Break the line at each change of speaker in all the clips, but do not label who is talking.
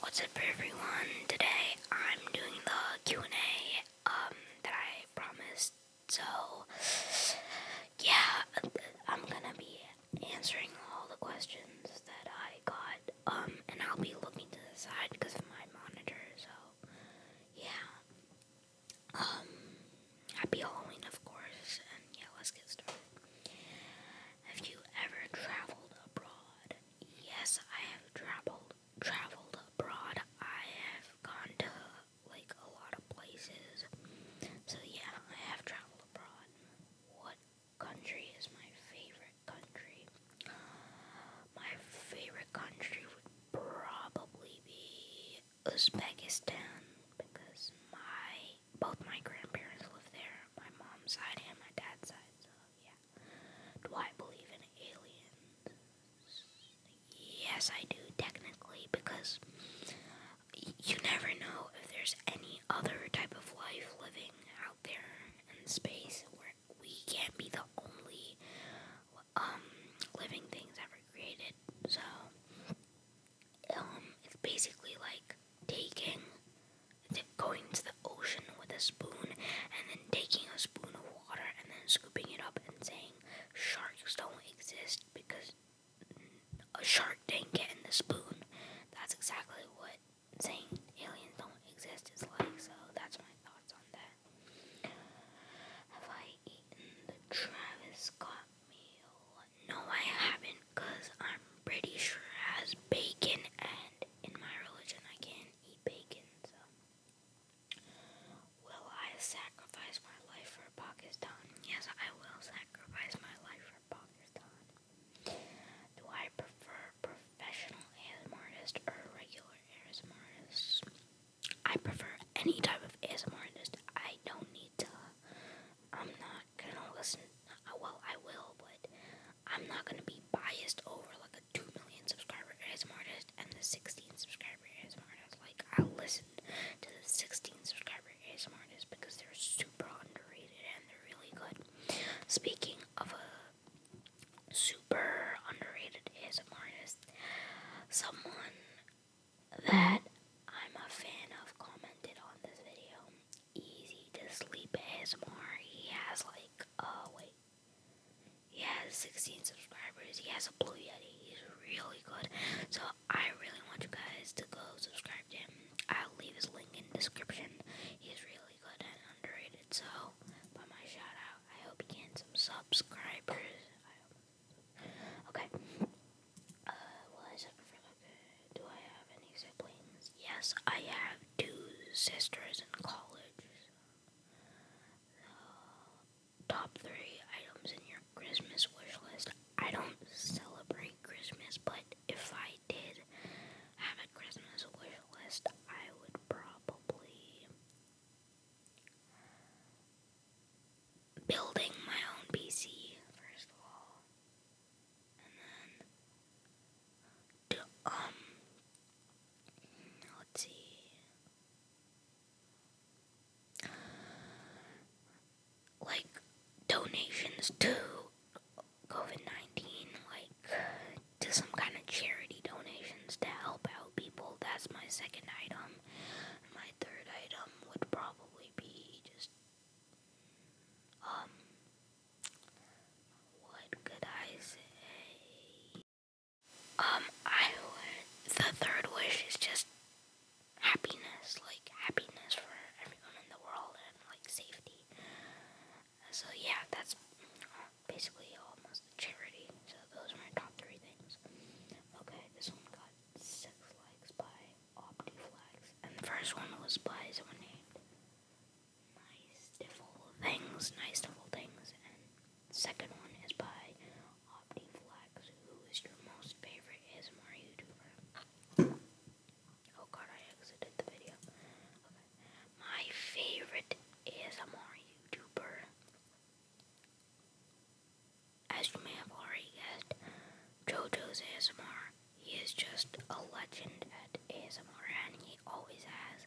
What's up everyone? Today I'm doing the Q&A um, that I promised. So yeah, I'm going to be answering all the questions that I got um and I'll be looking to the side because of my monitor. So yeah. Um, happy Halloween of course and yeah, let's get started. Have you ever traveled abroad? yes, I have traveled traveled abroad. I have gone to like a lot of places. So yeah, I have traveled abroad. What country is my favorite country? My favorite country would probably be Uzbekistan because my both my grandparents live there, my mom's side and my dad's side yeah. Do I believe in aliens? Yes, I do, technically, because you never know if there's any other type of life living out there in space where we can't be the only um, living things ever created. So, um, it's basically like taking going to the ocean with a spoon and then taking a spoon of water and then scooping it up and saying sharks don't exist because a shark didn't get in the spoon. That's exactly what saying aliens don't exist is like, so that's my thoughts on that. Have I eaten the Travis Scott meal? No, I haven't, because I'm pretty sure it has bacon, and in my religion, I can't eat bacon, so. Will I sacrifice my life for Pakistan? Yes, I will sacrifice my life for Pakistan. Do I prefer professional ASMR artist or regular ASMR artist? I prefer any type of ASMR artist. I don't need to. I'm not gonna listen. Well, I will, but I'm not gonna be biased over like a two million subscriber ASMR artist and the sixteen subscriber ASMR artist. Like I'll listen to the sixteen subscriber ASMR artist because they're super underrated and they're really good. Speaking of a super underrated ASMR artist, someone that I'm a fan of commented on this video easy to sleep ASMR. He has like uh wait. He has 16 subscribers. He has a blue yeti. He's really good. So I really want you guys to go subscribe to him. I'll leave his link in description. He's really good and underrated. So by my shout out, I hope he gets some subscribers. Okay. Uh, well, I do I have any siblings? Yes, I have two sisters in college. The top three items in your Christmas wish list. I don't celebrate Christmas, but if I did have a Christmas wish list, I would probably building my own PC first of all and then um, let's see, like donations to COVID 19, like to some kind of charity donations to help out people. That's my second item. My third item would probably be just um what could I say? Um, I would. The third wish is just happiness, like happiness for everyone in the world and like safety. So, yeah, that's basically almost a charity. So, those are my top three things. Okay, this one got six likes by OptiFlex, and the first one was by someone named Nice Diffle Things, Nice Diffle Things, and second one is by OptiFlex, who is your most favorite ASMR YouTuber. Oh god, I exited the video. Okay. My favorite ASMR YouTuber, as you may have already guessed, JoJo's ASMR. He is just a legend at ASMR and he always has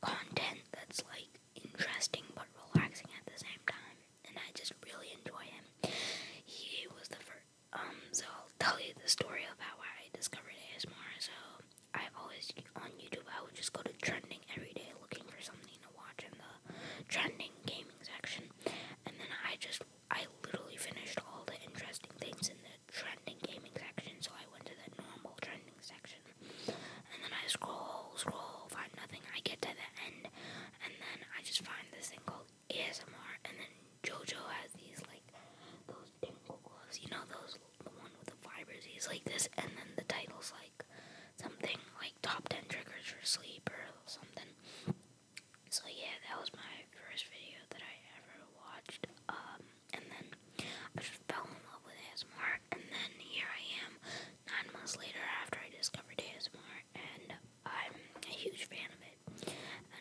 content that's like interesting but relaxing at the same time. And I just really enjoy him. He was the first. Um, so I'll tell you the story about how I discovered ASMR. So I always on YouTube I would just go to trending every day looking for something to watch in the trending gaming section, and then I just I literally finished all the interesting things in there trending gaming section, so I went to the normal trending section. And then I scroll, scroll, find nothing. I get to the end, and then I just find this thing called ASMR, and then JoJo has these, like, those tingle gloves, you know, those, the one with the fibers, he's like this, and then the title's like something like top 10 triggers for sleep or something. So, yeah, that was my first video that I ever watched. Um, and then I just fell in love with ASMR, and then here I am nine months later after I discovered ASMR, and I'm a huge fan of it.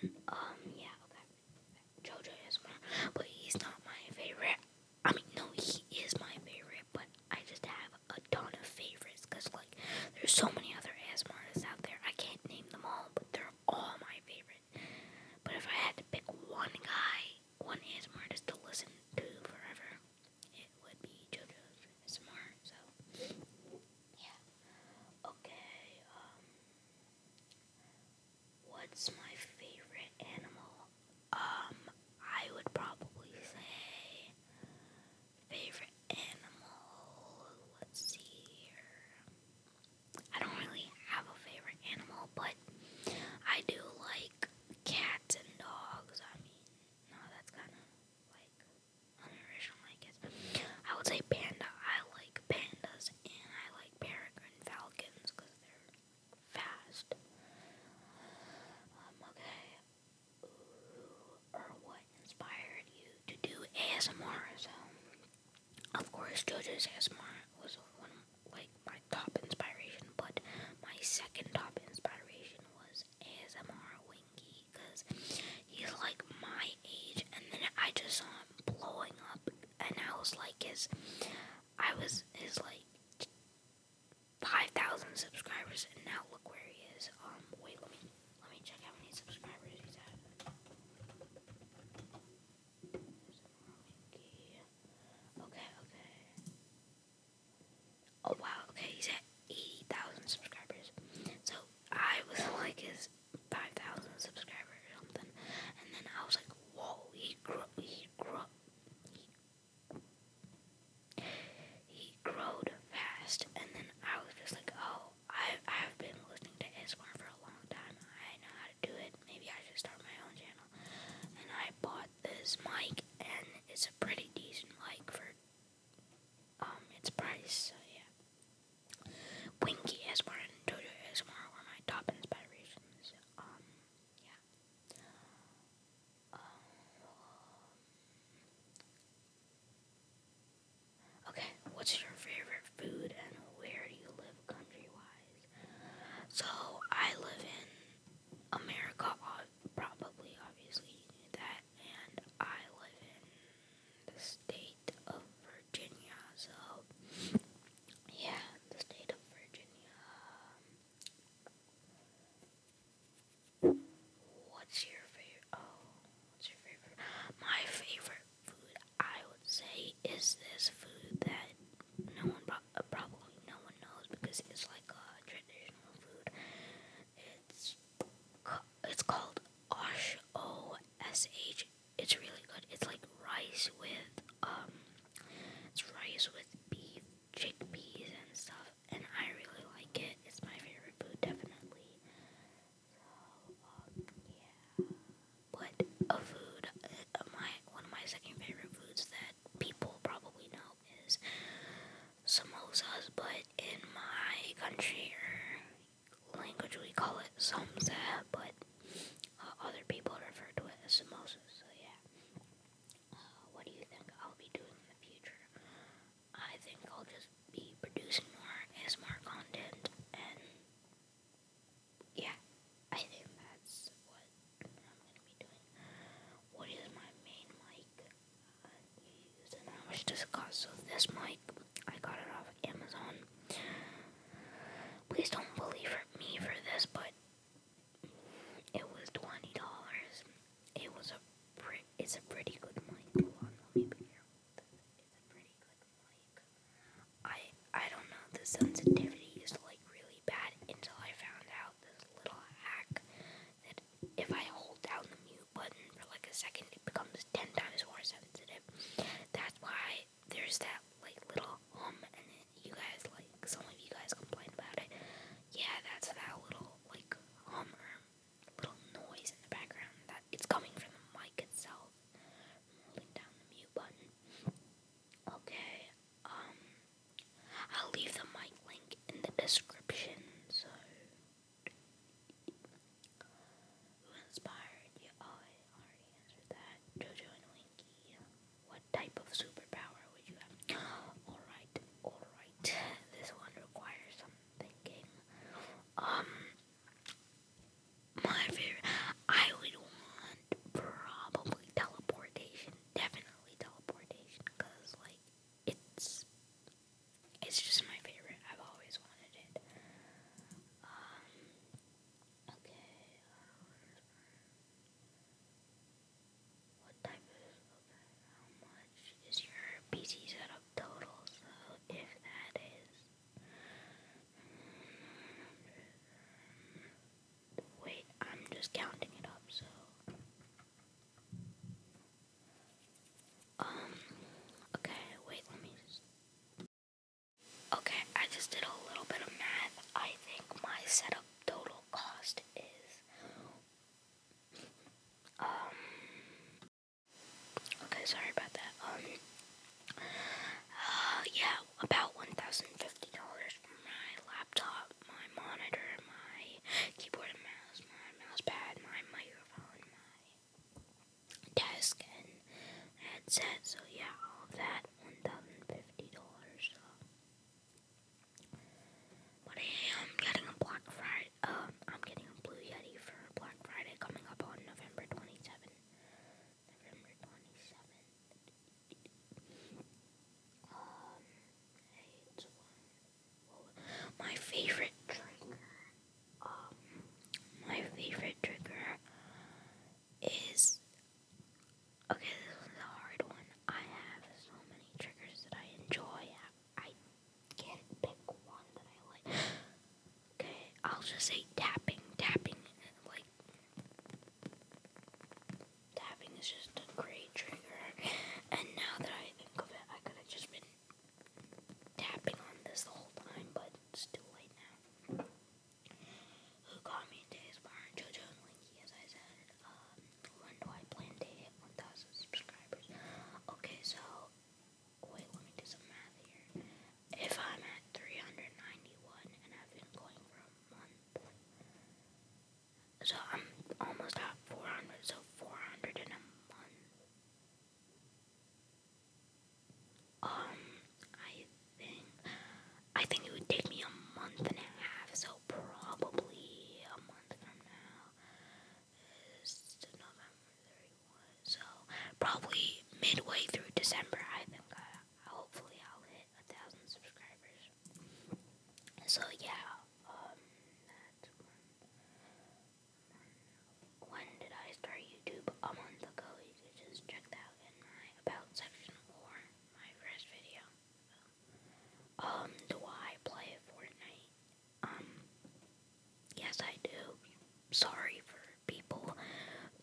And um, yeah, okay, JoJo ASMR, but he's not my favorite. I mean, no, he is my favorite, but I just have a ton of favorites because like there's so many other ASMRs out there. I can't name them all, but they're all my favorite. But if I had to pick one guy, one ASMR artist to listen to forever, it would be JoJo's ASMR. So, yeah. Okay, um, what's my favorite animal? Um, I would probably say favorite animal. Let's see here. I don't really have a favorite animal, but I do like cats and dogs. I mean, no, that's kind of like unoriginal, I guess. I would say panda. I like pandas and I like peregrine falcons because they're fast. Um, okay. or what inspired you to do ASMR? Of course, JoJo's ASMR was one of, like my top inspiration, but my second top inspiration was ASMR Winky because he's like my age, and then I just saw him blowing up, and I was like his, I was his like five thousand subscribers, and now look where he is. Um, wait, let me let me check how many subscribers he's at. Okay, okay. Oh wow, okay, he's at 80,000 subscribers. So I was like his 5,000 subscribers or something. And then I was like, whoa, he grew, he grew, he, he growed fast. And then I was just like, oh, I, I've been listening to ASMR for a long time. I know how do it. Maybe I should start my own channel. And I bought this mic, and it's a pretty decent mic for um, its price. yeah, Winky ASMR and Dojo ASMR were my top inspirations. Um, yeah. Um, okay, what's your favorite food and where do you live country wise? So I live in America, probably, obviously you knew that, and I live in the state of Virginia. So yeah, the state of Virginia. What's your favorite? Oh, what's your favorite? My favorite food. I would say is this food that no one pro- uh, probably no one knows because it's like a traditional food. It's it's called osh o s h. It's really good. It's like rice with um, it's rice with beef, chickpeas, and stuff. And I really like it. It's my favorite food, definitely. Um, yeah. But a food, uh, my one of my second favorite foods that people probably know is samosas, but in my country or language we call it samsa, but uh, other people refer to it as samosas. So yeah. Uh, what do you think I'll be doing in the future? I think I'll just be producing more ASMR content and yeah, I think that's what I'm gonna be doing. What is my main mic uh, I use and how much does it cost? So this mic, I got it off Amazon. Please don't believe me for this, but it was twenty dollars. It was a pre- it's a pretty good mic. Like, I I don't know. The sensitivity is like really bad until I found out this little hack that if I hold down the mute button for like a second, it becomes ten times more sensitive. That's why there's that like little hum, and then you guys like some of you guys complain about it. Yeah, that's that little like hum little noise in the background. That it's coming from the mic itself. Holding down the mute button. Okay, um, I'll leave the mic link in the description. So, who inspired you? Oh, I already answered that. Jojo and Winky. What type of superpower would you have? Alright, alright. This one requires some thinking. Um, my favorite. I would want probably teleportation. Definitely teleportation, cause like it's it's just my favorite. I've always wanted it. Um, okay. Uh, what type is How much is your PC setup total? So if that is Wait, I'm just counting it up, so. Um, okay, wait, let me just. Okay, I just did a little bit of math. I think my setup total cost is. Um. Okay, sorry about that. Um, uh, yeah, about one thousand fifty dollars for my laptop, my monitor, my keyboard and mouse, my mouse pad, my microphone, my desk and headset. So yeah, all that one thousand fifty dollars. But I am getting a Black Friday. Um, I'm getting a Blue Yeti for Black Friday coming up on November twenty seven. November 27th. Um, it's one. My favorite trigger. Um, my favorite trigger is. Okay, this is a hard one. I have so many triggers that I enjoy. I, I pick one that I like. Okay, I'll just say tapping, tapping, like Tapping is just a great trigger. And now that I think of it, I could have just been tapping on this the whole time, but it's too late now. Who caught me in today's barn? JoJo and Linky, as I said. when um, do I plan to hit 1,000 subscribers? Okay, so, wait, let me do some math here. If I'm at 391 and I've been going for a month, so I'm almost at 400, so 400 in a month. Um, I think, I think it would take me a month and a half, so probably a month from now is November 31, so probably midway through December, I think hopefully I'll hit a thousand subscribers. So yeah, when, um, did I start YouTube? A month ago. You could just check that in my about section or my first video. Um, do I play Fortnite? Um, yes I do. Sorry for people,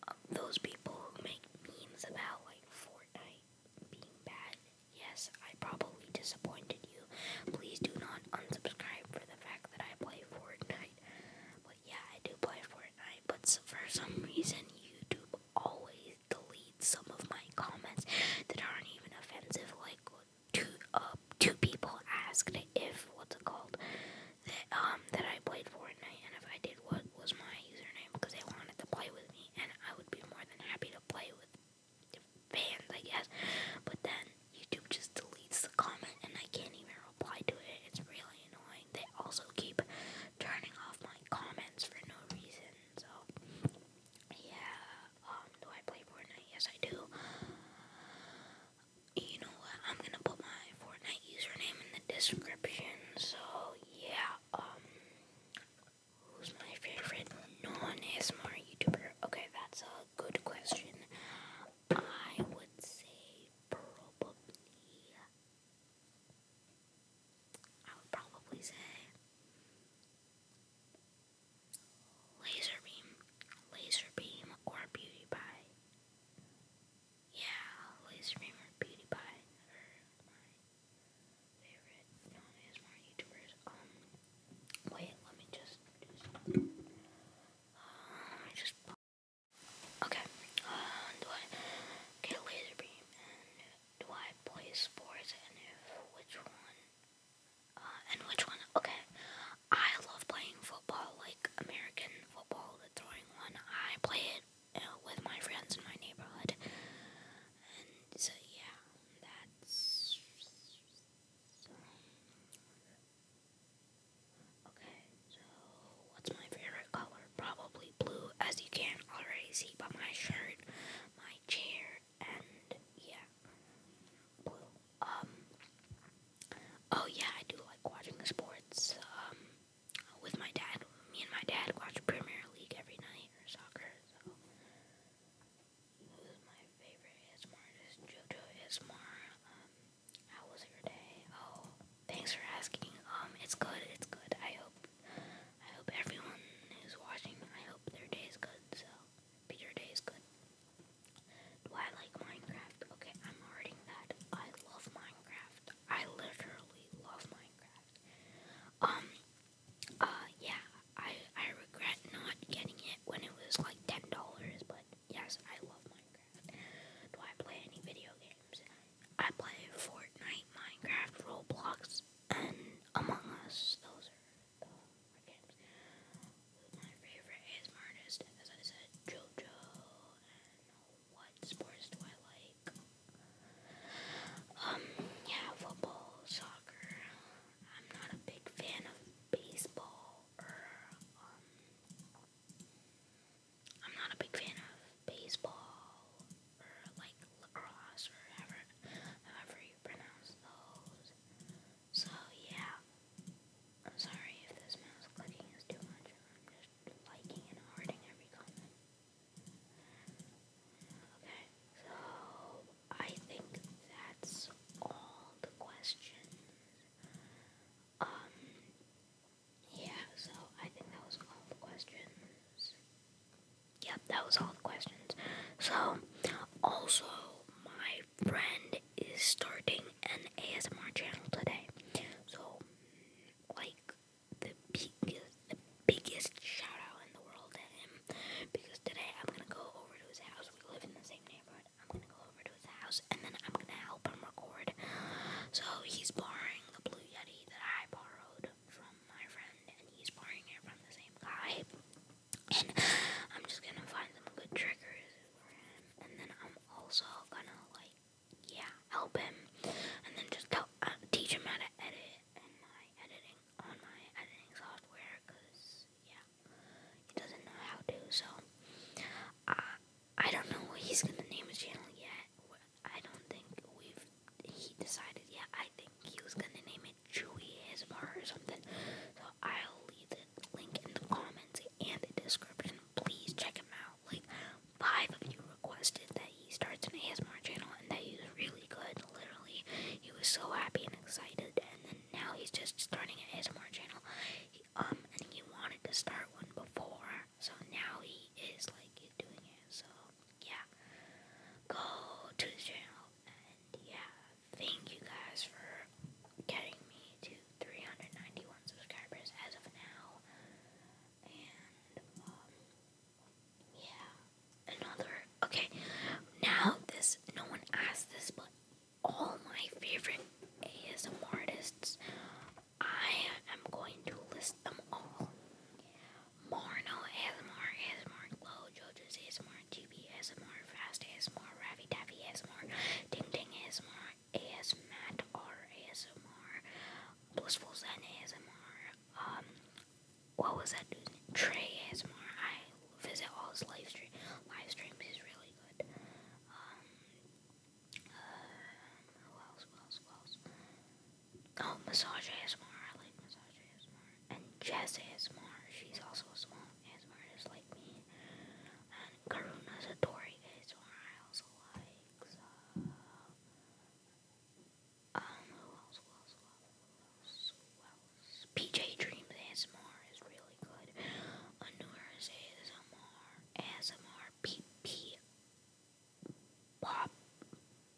um, those people who make memes about like Fortnite being bad. Yes, I probably disappointed you. Please do not unsubscribe for the fact that I play Fortnite. But yeah, I do play Fortnite, but for some reason, YouTube always deletes some of my comments that aren't even offensive. Like, two, uh, two people asked if, what's it called, that, um, that I played Fortnite, and if I did what was my username because they wanted to play with me, and I would be more than happy to play with the fans, I guess. But then YouTube just deletes the comment, and I can't even reply to it. It's really annoying. They also keep turning off my comments for no reason. So yeah, um, do I play Fortnite? Yes, I do. You know what? I'm gonna put my Fortnite username in the description. So yeah, um, who's my favorite non smart YouTuber? Okay, that's a good question. I would say probably. I would probably say laser beam, or beauty yeah, I'll always remember PewDiePie my favorite known YouTubers. Um, wait, let me just do let me uh, just. Okay, uh, do I get a do I play sports and if which one? Uh, and which one? Okay, I love playing football, like American football, the throwing one. I play it with my friends in my neighborhood. And so, yeah, that's. Okay, so what's my favorite color? Probably blue, as you can already see by my shirt, my chair, and yeah, blue. Um, oh yeah, I do like watching sports. Um, with my dad. Me and my dad watch Premier League every night or soccer. So my favorite ASMR artist? JoJo ASMR. Um, how was your day? Oh, thanks for asking. Um, it's good. It's good. I hope. I hope everyone who's watching. I hope their day is good. So, but your day is good. Do I like Minecraft? Okay, I'm already that. I love Minecraft. I literally love Minecraft. Um, uh, yeah, I, I regret not getting it when it was like $10, but yes, I love Minecraft. Do I play any video games? I play Fortnite, Minecraft, Roblox, and Among Us. Those are the games. My favorite ASMR artist, as I said, JoJo, what sports do I like? Um, yeah, football, soccer. I'm not a big fan of baseball or um I'm not a big fan of baseball or like lacrosse or however however you pronounce those. So yeah. I'm sorry if this mouse clicking is too much. I'm just liking and hearting every comment. Okay, so I think that's all the questions. Um, yeah, so I think that was all the questions. Yep, that was all the questions. So, also, my friend is starting an ASMR channel today. So, like, the biggest, the shout out in the world to him because today I'm gonna go over to his house. We live in the same neighborhood. I'm gonna go over to his house and then I'm gonna help him record. So he's borrowing the Blue Yeti that I borrowed from my friend, and he's borrowing it from the same guy. And I'm just gonna find some good triggers for him, and then I'm also gonna like yeah, help him, and then just go uh, teach him how to edit and my editing on my editing software, cause yeah, he doesn't know how to. So uh, I don't know what he's gonna name his channel yet. I don't think we've he decided yet. I think he was gonna name it Chewy ASMR or something. So I'll leave the link in the comments and the description. Please check him out now. Like, five of you requested that he starts an ASMR channel and that he was really good. Literally, he was so happy and excited, and then now he's just starting an ASMR channel. He, um, and he wanted to start one before, so now he is like doing it. So, yeah, go to his channel, and yeah, thank you guys for getting me to 391 subscribers as of now. And, um, yeah. Another. Okay. Now this. No one asked this, but all my favorite ASM artists. I am going to list them all. Marno ASMR, ASMR Glow, JoJo's ASMR, GB ASMR, Fast ASMR, Ravi Taffy ASMR, Ding Ding ASMR, ASMAT R ASMR, Blissful Zen ASMR, um, what was that dude's name? Trey ASMR. I visit all his live, stream, live streams. He's really good. Um, uh, who else? Who else? Who else? Oh, Massage ASMR. I like Massage ASMR. And Jess ASMR. She's also a small ASMR just like me. And Karuna Satori ASMR. I also like. So, um, who else, who else, who else, who else? PJ Dreams ASMR is really good. Anura's ASMR, ASMR, PP, Bob,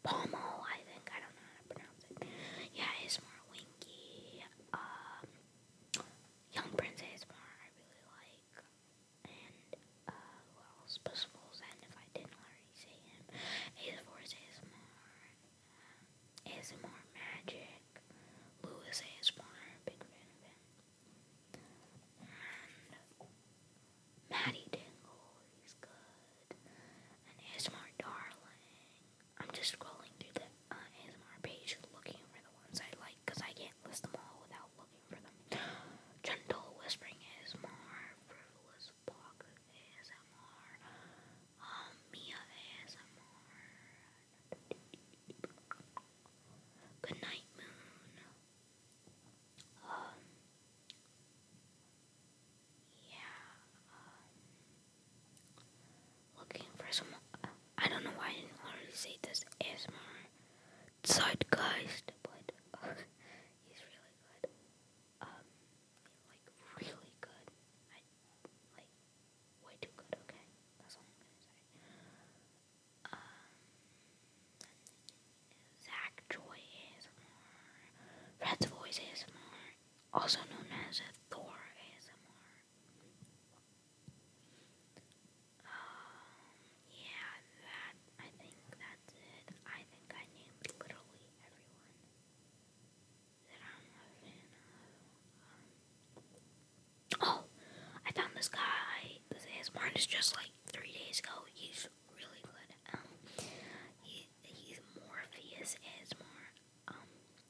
Pomo, I think, I don't know how to pronounce it. Yeah, ASMR, Winky, um, Young Prince ASMR, I really like and uh, well, Spaceful's End, if I didn't already see him, his voice is more, uh, ASMR Magic, Lewis ASMR, big fan of him, and Maddie Dingle, he's good, and ASMR Darling. I'm just scrolling through the uh, page looking for the ones I like, because I can't list them all without looking for them. Gentle Whispering ASMR, Frivolous Spock ASMR, um, Mia ASMR, Good Night Moon, um, yeah, um, looking for some, I don't know why I didn't already say this ASMR, Zeitgeist, but uh, he's really good. Um, like really good. I like way too good. Okay, that's all I'm gonna say. Um, Zach Joy ASMR, Red's Voice ASMR, also known as Thor ASMR. Um, yeah, that, I think that's it. I think I named literally everyone that I'm a fan of. Um, oh, I found this guy. This ASMR is just like three days ago. He's really good. Um, he, he's Morpheus ASMR. Um,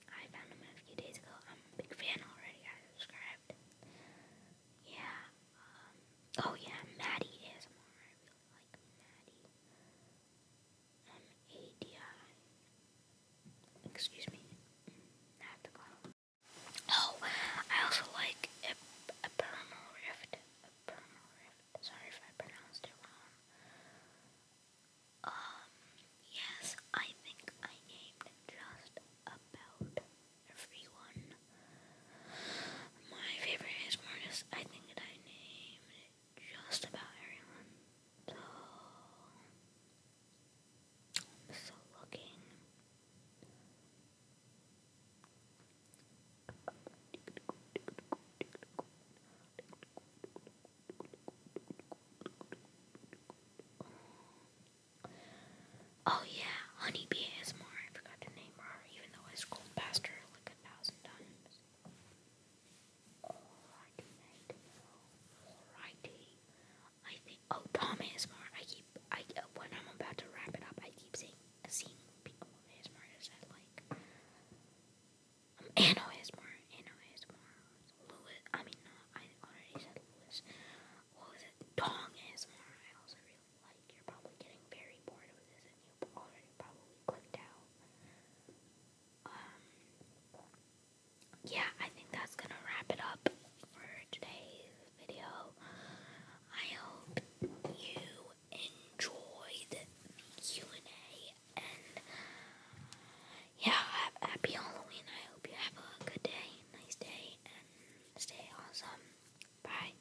I found him a few days ago. I'm a big fan already. I subscribed. Yeah. Um, oh yeah, Maddie ASMR. I like Maddie. M-A-D-I. Excuse me. Oh, I also like a, rift. A rift. Sorry if I pronounced it wrong. Um, yes, I think I named just about everyone my favorite ASMR artist, I think that I named just about everyone. So, looking. Oh yeah, Honeybee ASMR. I forgot to name her, even though I scrolled past her like a thousand times. Alrighty, mate. Alrighty. I think. Oh, Tom ASMR. I keep. I uh, when I'm about to wrap it up, I keep seeing uh, seeing people on ASMR that like. Um, Anno ASMR. Anno ASMR. Lewis. I mean, no. I already said Lewis. What was it? Dong ASMR. I also really like, you're probably getting very bored of this and you already probably clicked out. Um, yeah, I think that's gonna wrap it up for today's video. I hope you enjoyed the Q&A and yeah, happy Halloween. I hope you have a good day, nice day, and stay awesome. Bye.